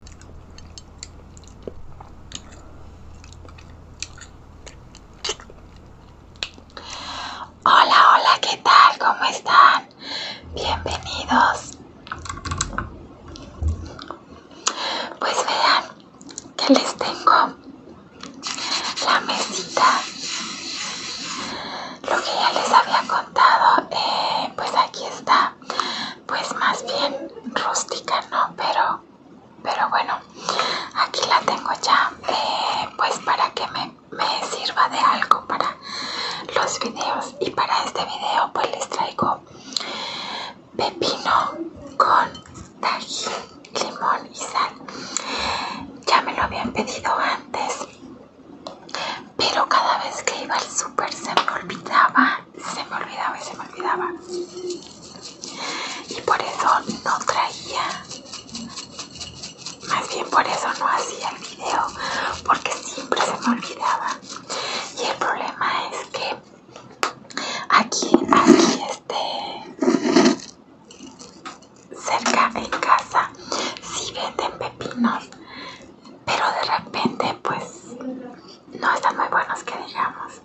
Hola, hola, ¿qué tal? ¿Cómo están? Bienvenidos. Pues vean que les tengo la mesita. Lo que ya les había contado, eh, pues aquí está pues más bien rústica, ¿no? Pero, pero bueno, aquí la tengo ya eh, pues para que me, sirva de algo para los videos y para este video pues les traigo pepino con tajín, limón y sal. Ya me lo habían pedido antes, pero cada vez que iba al súper se me olvidaba se me olvidaba y se me olvidaba. Y por eso no traía, más bien por eso no hacía el video, porque siempre se me olvidaba. Y el problema es que aquí, aquí este, cerca en casa, si venden pepinos pero de repente pues no están muy buenos que digamos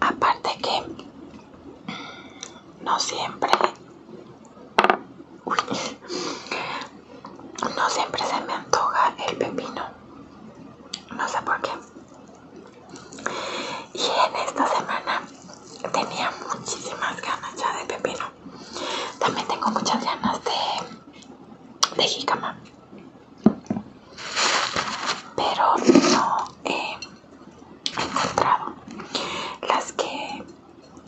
Aparte que no siempre, no siempre se me antoja el pepino, no sé por qué. Y en esta semana tenía muchísimas ganas ya de pepino. También tengo muchas ganas de, de Pero no he encontrado. Las que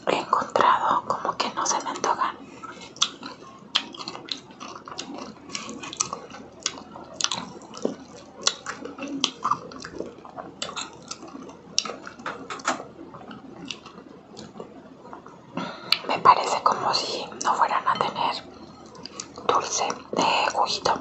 he encontrado como que no se me antojan. Me parece como si no fueran a tener dulce de juguito.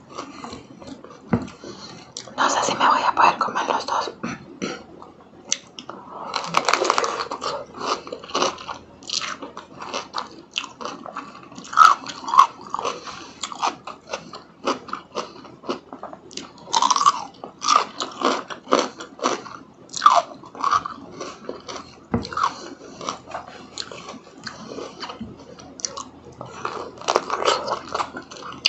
No sé si me voy a poder comer los dos.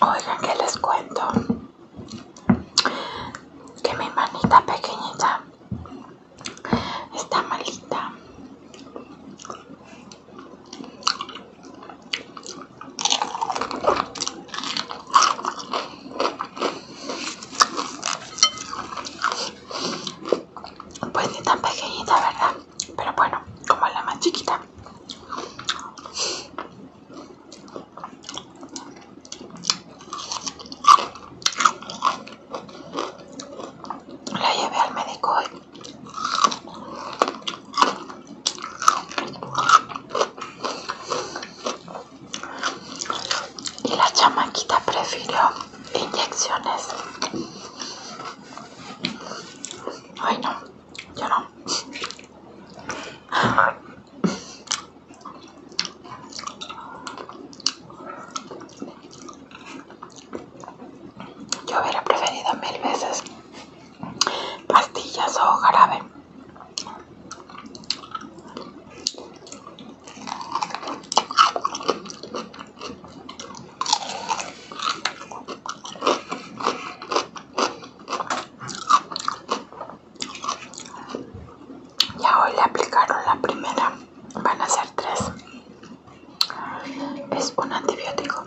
Oigan, que les cuento que mi manita pequeñita está malita. Pues ni tan pequeñita, ¿verdad? Pero bueno, como la más chiquita. La llevé al médico Y la chamaquita prefirió inyecciones. Ay no. Yo no. Yo hubiera preferido mil veces pastillas o jarabe. Ya hoy le aplicaron la primera, van a ser tres. Es un antibiótico.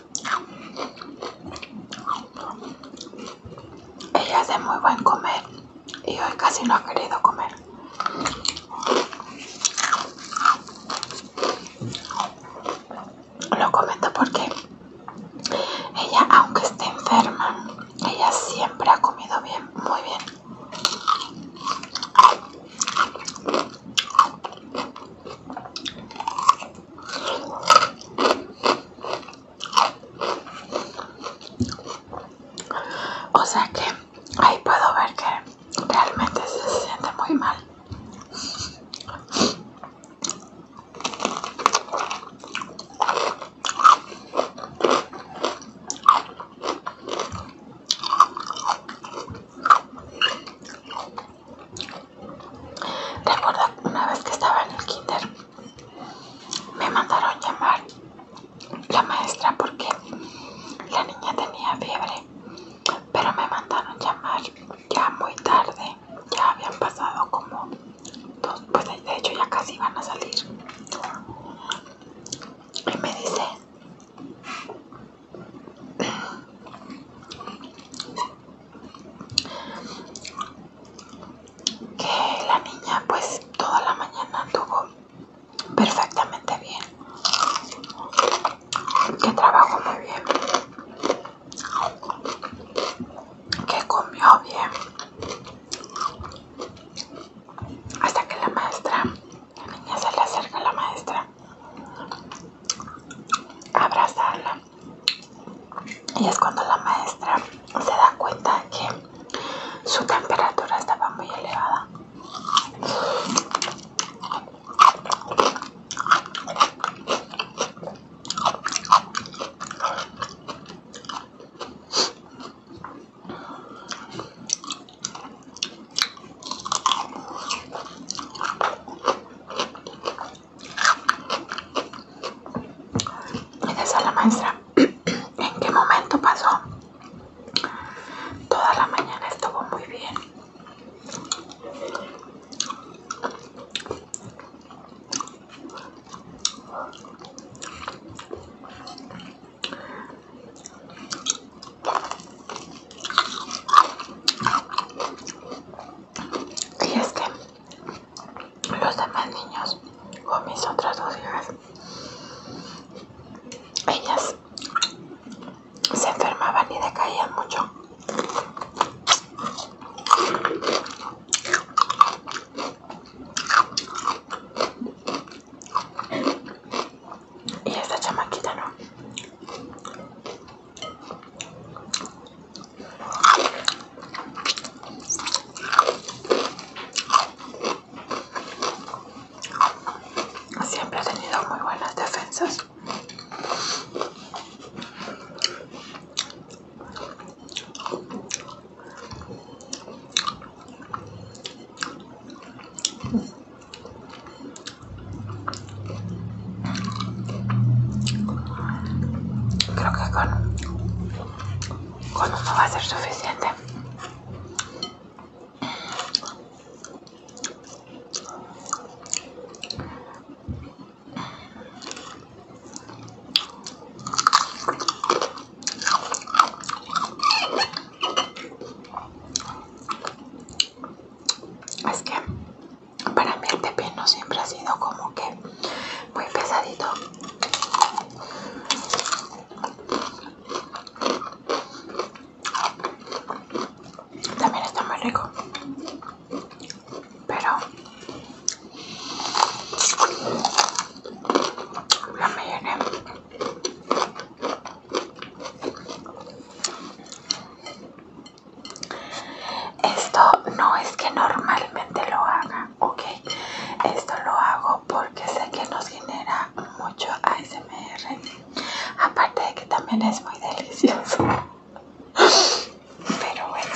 Ella es de muy buen comer y hoy casi no ha querido comer. Lo comento porque ella, aunque esté enferma, ella siempre ha comido bien, muy bien. O sea que ahí puedo ver que realmente se siente muy mal. Recuerdo una vez que estaba en el kinder, me mandaron llamar la maestra porque la niña tenía fiebre, pero me mandaron llamar ya muy tarde, ya habían pasado como dos, pues de hecho ya casi iban a salir. Y me dice, que la niña pues toda la mañana anduvo perfectamente bien que trabajó muy bien que comió bien hasta que la maestra la niña se le acerca a la maestra abrazarla y es cuando la maestra se da cuenta que su temperatura estaba muy elevada y a la maestra, ¿en qué momento pasó? Toda la mañana estuvo muy bien. Y es los demás niños o mis otras dos hijas, ellas se enfermaban y decaían mucho. Y esta chamaquita no. Siempre ha tenido muy buenas defensas. Creo que con, con uno va a ser suficiente es que para mí el pepino siempre ha sido como que muy pesadito. También está muy rico, pero la llené esto no es que normalmente lo haga, ok. Esto lo hago porque sé que nos genera mucho ASMR. Aparte de que también es muy delicioso. Pero bueno.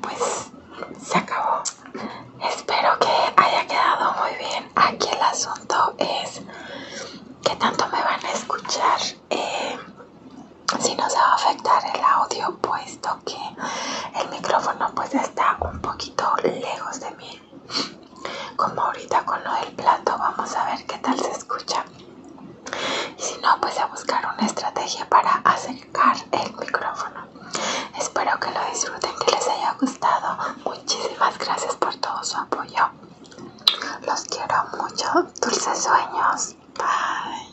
Pues se acabó. Espero que haya quedado muy bien. Aquí el asunto es que tanto me van a escuchar. Eh, si no se va a afectar el audio, puesto que el micrófono pues está un poquito lejos de mí como ahorita con lo del plato vamos a ver qué tal se escucha y si no pues a buscar una estrategia para acercar el micrófono espero que lo disfruten que les haya gustado muchísimas gracias por todo su apoyo los quiero mucho dulces sueños bye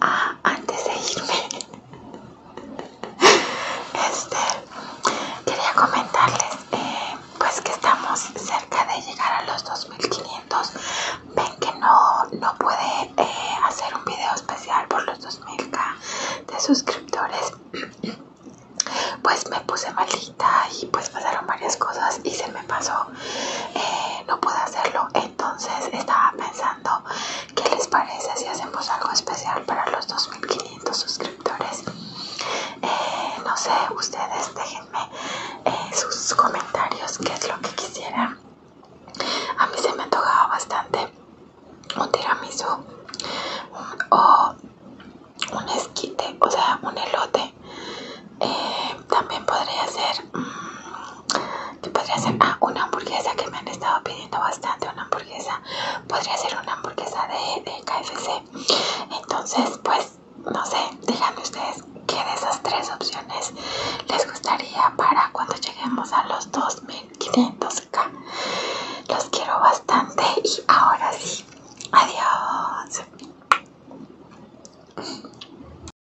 Ah, antes de irme, este, quería comentarles eh, pues que estamos cerca de llegar a los 2500. Ven que no, no puede eh, hacer un video especial por los 2000 de suscriptores. Pues me puse malita y pues pasaron varias cosas y se me pasó. Eh, no pude hacerlo. Entonces estaba pensando, ¿qué les parece si hacemos algo especial para los 2500 suscriptores? Eh, no sé, ustedes déjenme eh, sus comentarios, qué es lo que quisieran. A mí se me antojaba bastante un tiramisu o un esquite, o sea, un elote. Eh, también podría ser... Mm, que podría ser ah, una hamburguesa que me han estado pidiendo bastante, una hamburguesa, podría ser una hamburguesa de, de KFC. Entonces, pues, no sé, díganme ustedes qué de esas tres opciones les gustaría para cuando lleguemos a los 2500k. Los quiero bastante y ahora sí, adiós.